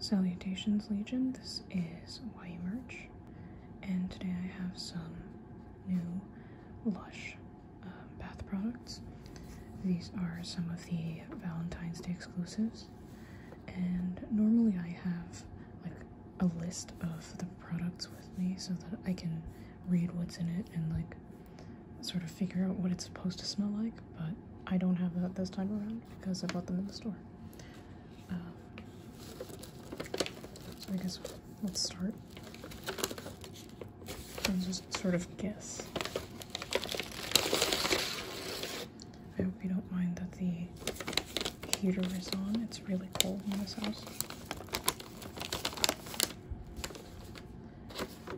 Salutations Legion, this is YMerch, and today I have some new Lush um, bath products. These are some of the Valentine's Day exclusives, and normally I have like a list of the products with me so that I can read what's in it and like sort of figure out what it's supposed to smell like, but I don't have that this time around because I bought them in the store. so uh, I guess let's start and just sort of guess. I hope you don't mind that the heater is on. It's really cold in this house.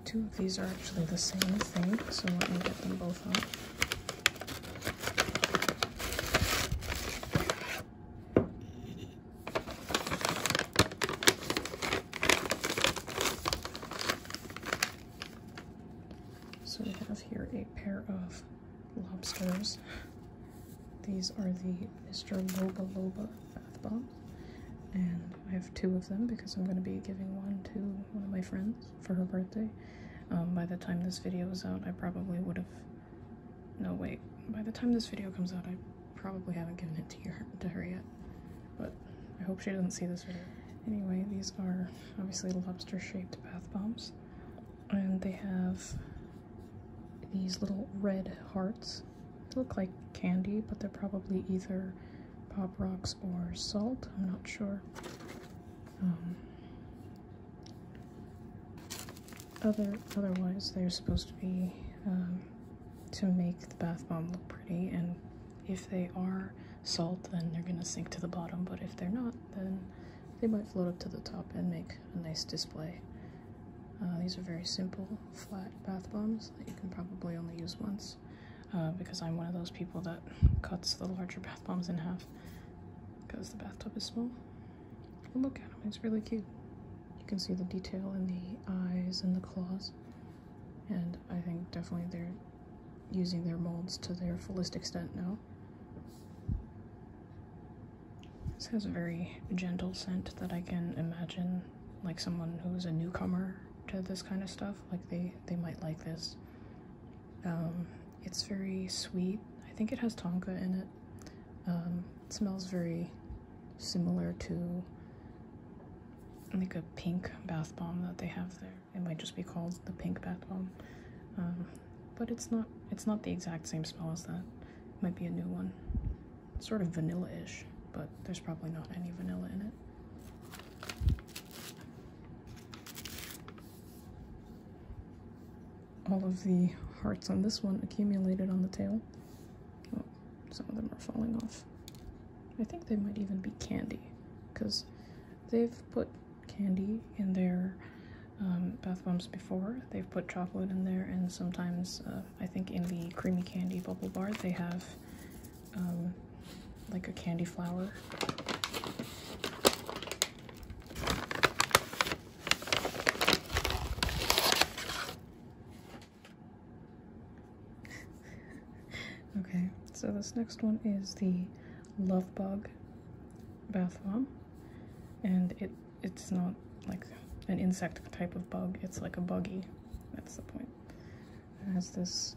Two of these are actually the same thing, so let me get them both out. So we have here a pair of lobsters. These are the Mr. Loba Loba bath bomb. And I have two of them because I'm going to be giving one to one of my friends for her birthday. Um, by the time this video is out, I probably would have... No, wait. By the time this video comes out, I probably haven't given it to, your, to her yet. But I hope she doesn't see this video. Anyway, these are obviously lobster-shaped bath bombs. And they have these little red hearts. They look like candy, but they're probably either pop rocks or salt. I'm not sure. Um, other otherwise, they're supposed to be um, to make the bath bomb look pretty. And if they are salt, then they're gonna sink to the bottom. But if they're not, then they might float up to the top and make a nice display. Uh, these are very simple, flat bath bombs that you can probably only use once. Uh, because I'm one of those people that cuts the larger bath bombs in half because the bathtub is small. look at him, he's really cute. You can see the detail in the eyes and the claws, and I think definitely they're using their molds to their fullest extent now. This has a very gentle scent that I can imagine like someone who's a newcomer to this kind of stuff like they they might like this um, it's very sweet i think it has tonka in it um, it smells very similar to like a pink bath bomb that they have there it might just be called the pink bath bomb um, but it's not it's not the exact same smell as that might be a new one sort of vanilla-ish, but there's probably not any vanilla in it. All of the hearts on this one accumulated on the tail. Oh, some of them are falling off. I think they might even be candy, because they've put candy in their um, bath bombs before. They've put chocolate in there and sometimes uh, I think in the creamy candy bubble bar they have um, like a candy flower. okay, so this next one is the Love Bug bath bomb, and it it's not like an insect type of bug. It's like a buggy that's the point. It has this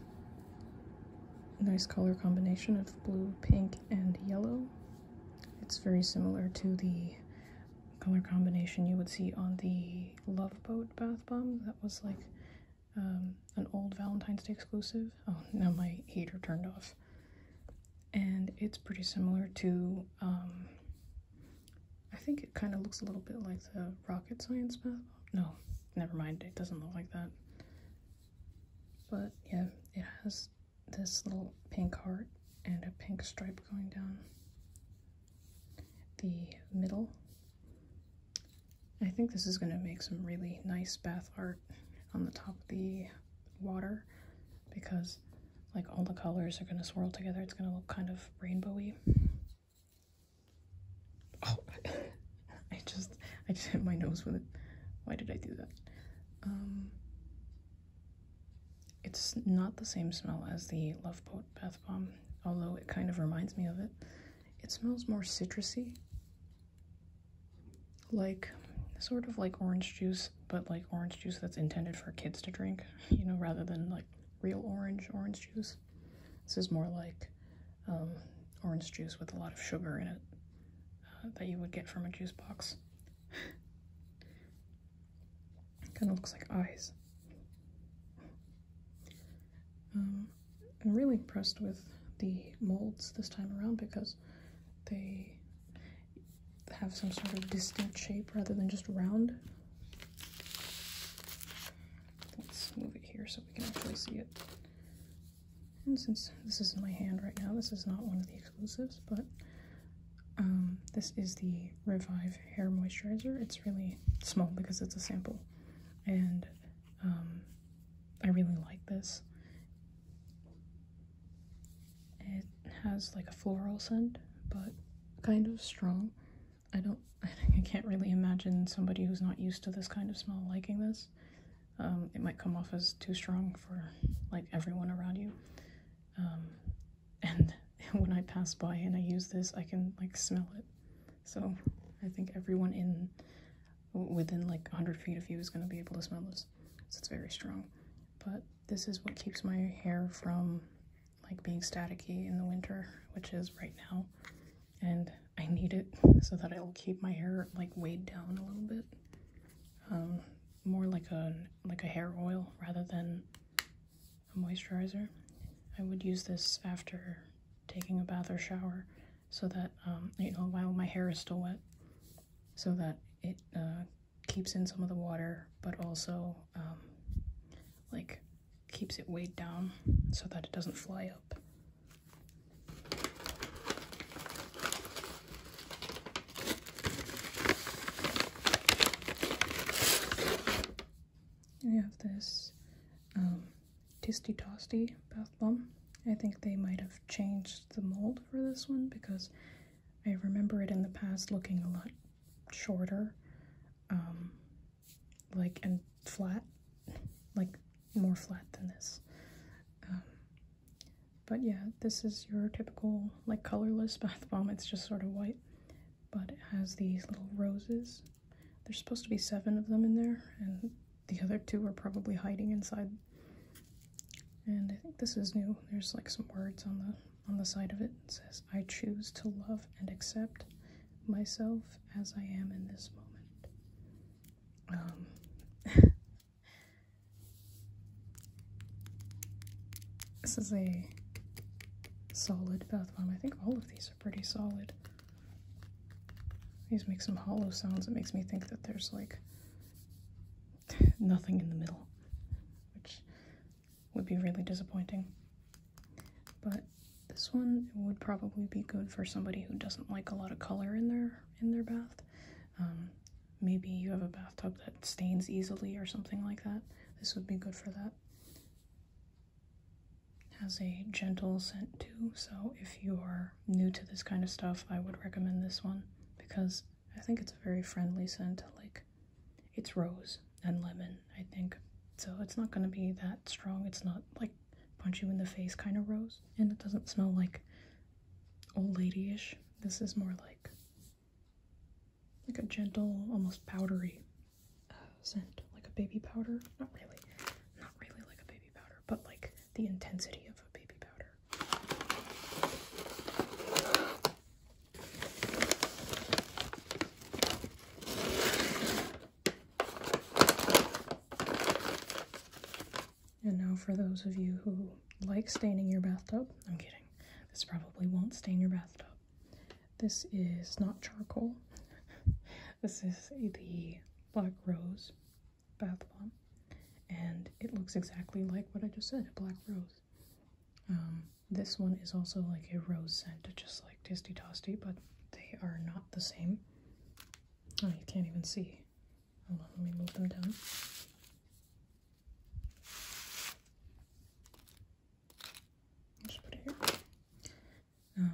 nice color combination of blue, pink, and yellow. It's very similar to the color combination you would see on the Love Boat bath bomb that was like um, an old Valentine's Day exclusive. Oh, now my heater turned off. And it's pretty similar to um, I think it kind of looks a little bit like the rocket science bath. No, never mind. It doesn't look like that. But yeah, it has this little pink heart and a pink stripe going down the middle. I think this is going to make some really nice bath art on the top of the water because like all the colors are going to swirl together. It's going to look kind of rainbowy. Oh, I just, I just hit my nose with it. Why did I do that? Um, it's not the same smell as the Love Boat Bath Bomb, although it kind of reminds me of it. It smells more citrusy, like sort of like orange juice, but like orange juice that's intended for kids to drink, you know, rather than like real orange orange juice. This is more like um, orange juice with a lot of sugar in it uh, that you would get from a juice box. kind of looks like eyes. Um, I'm really impressed with the molds this time around because they have some sort of distinct shape rather than just round. Let's move it here so we can actually see it. And since this is in my hand right now, this is not one of the exclusives, but um, this is the Revive Hair Moisturizer. It's really small because it's a sample, and um, I really like this. It has like a floral scent, but kind of strong. I don't, I can't really imagine somebody who's not used to this kind of smell liking this. Um, it might come off as too strong for like everyone around you. Um, and when I pass by and I use this, I can like smell it. So I think everyone in within like 100 feet of you is going to be able to smell this because it's very strong. But this is what keeps my hair from like being staticky in the winter, which is right now. And I need it so that it'll keep my hair like weighed down a little bit. Um, more like a like a hair oil rather than a moisturizer. I would use this after taking a bath or shower so that um, you know while my hair is still wet so that it uh, keeps in some of the water, but also um, like keeps it weighed down so that it doesn't fly up. I have this um, Tisty Tosty bath bomb. I think they might have changed the mold for this one because I remember it in the past looking a lot shorter, um, like and flat, like more flat than this. Um, but yeah, this is your typical like colorless bath bomb. It's just sort of white, but it has these little roses. There's supposed to be seven of them in there, and the other two are probably hiding inside. And I think this is new. There's like some words on the on the side of it it says, I choose to love and accept myself as I am in this moment. Um, this is a solid bath bomb. I think all of these are pretty solid. These make some hollow sounds. It makes me think that there's like nothing in the middle which would be really disappointing. But this one would probably be good for somebody who doesn't like a lot of color in their in their bath. Um, maybe you have a bathtub that stains easily or something like that. This would be good for that. Has a gentle scent too, so if you are new to this kind of stuff, I would recommend this one because I think it's a very friendly scent. Like, it's rose and lemon, I think. So it's not going to be that strong. It's not like punch you in the face kind of rose. And it doesn't smell like old ladyish. This is more like like a gentle, almost powdery uh, scent, like a baby powder. Not really, not really like a baby powder, but like the intensity of a baby powder. And now, for those of you who like staining your bathtub, I'm kidding, this probably won't stain your bathtub. This is not charcoal, this is the Black Rose bath bomb, and it looks exactly like what I just said, a black rose. Um, this one is also like a rose scent, just like Tasty Tosty, but they are not the same. Oh, you can't even see. let me move them down. Just put it here. Um,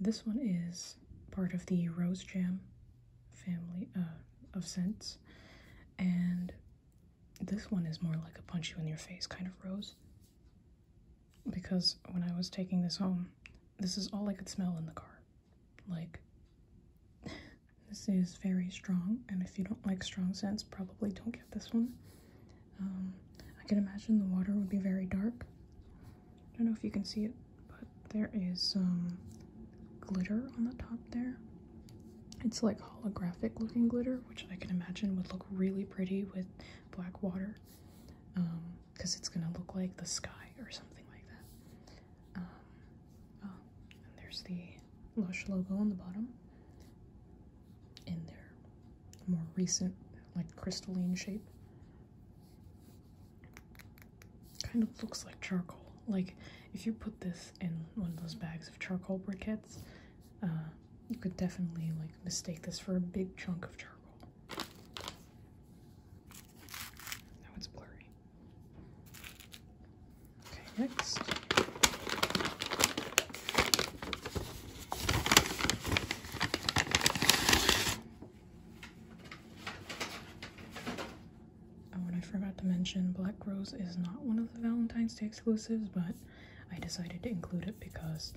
this one is part of the rose jam family uh, of scents, and this one is more like a punch you in your face kind of rose. Because when I was taking this home, this is all I could smell in the car. Like, this is very strong, and if you don't like strong scents, probably don't get this one. Um, I can imagine the water would be very dark. I don't know if you can see it but there is some glitter on the top there. It's like holographic looking glitter, which I can imagine would look really pretty with black water because um, it's going to look like the sky or something like that. Um, oh, and there's the Lush logo on the bottom in there, more recent, like crystalline shape kind of looks like charcoal. Like if you put this in one of those bags of charcoal briquettes, uh, you could definitely like mistake this for a big chunk of charcoal. Now it's blurry. Okay, next. Oh, and I forgot to mention Black Rose is not one of the Valentine's Day exclusives, but I decided to include it because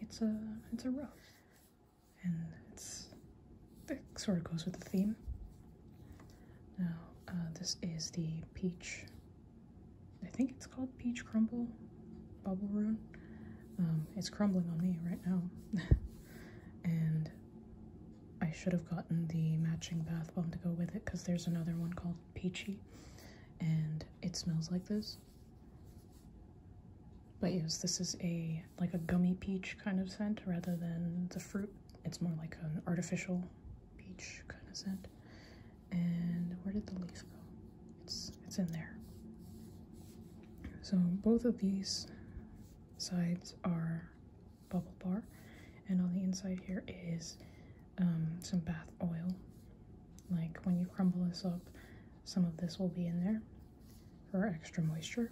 it's a it's a rose. And it's it sort of goes with the theme. Now, uh, this is the peach I think it's called Peach Crumble Bubble Room. Um, it's crumbling on me right now. and I should have gotten the matching bath bomb to go with it because there's another one called Peachy and it smells like this. But yes, this is a like a gummy peach kind of scent rather than the fruit. It's more like an artificial peach kind of scent. And where did the leaf go? It's it's in there. So both of these sides are bubble bar. And on the inside here is um, some bath oil. Like when you crumble this up, some of this will be in there for extra moisture.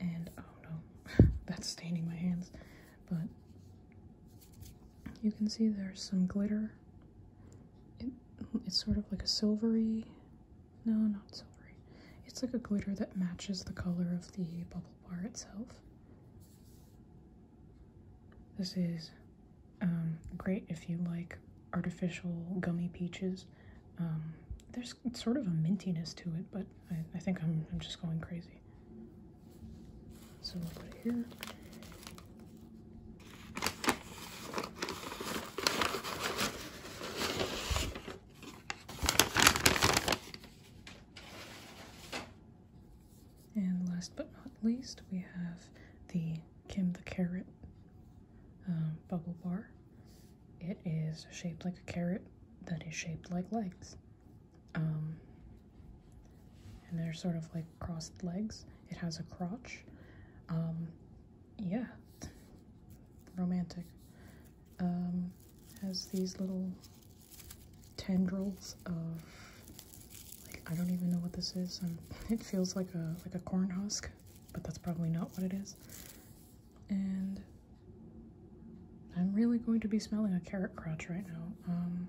And oh no, that's staining my hands. But you can see there's some glitter. it's sort of like a silvery no, not silvery. It's like a glitter that matches the color of the bubble bar itself. This is um, great if you like artificial gummy peaches. Um, there's sort of a mintiness to it, but I, think I'm, I'm just going crazy. So we'll put it here. And last but not least, we have the Kim the Carrot um, bubble bar. It is shaped like a carrot that is shaped like legs. Um, and they're sort of like crossed legs. It has a crotch. Um, yeah, romantic. Um, has these little tendrils of like I don't even know what this is. Um, it feels like a like a corn husk, but that's probably not what it is. And I'm really going to be smelling a carrot crotch right now. Um,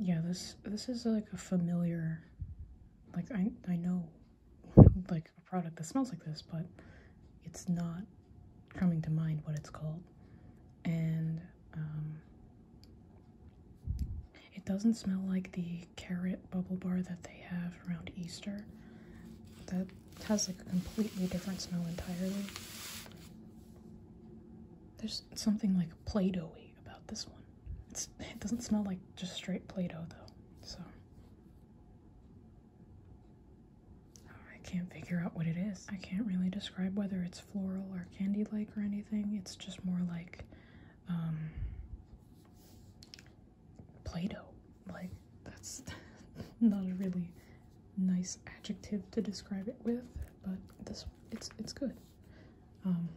yeah, this this is like a familiar, like I I know like a product that smells like this, but it's not coming to mind what it's called. And um, it doesn't smell like the carrot bubble bar that they have around Easter. That has like a completely different smell entirely. There's something like play doh about this one it doesn't smell like just straight Play-Doh though, so. I can't figure out what it is. I can't really describe whether it's floral or candy-like or anything. It's just more like um, Play-Doh. Like, that's not a really nice adjective to describe it with, but this it's it's good. Um,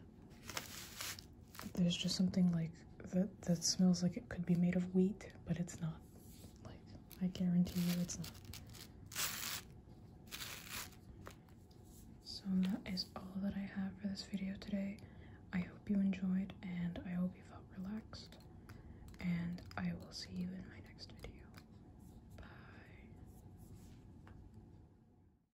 there's just something like that that smells like it could be made of wheat, but it's not. Like, I guarantee you it's not. So that is all that I have for this video today. I hope you enjoyed and I hope you felt relaxed. And I will see you in my next video. Bye.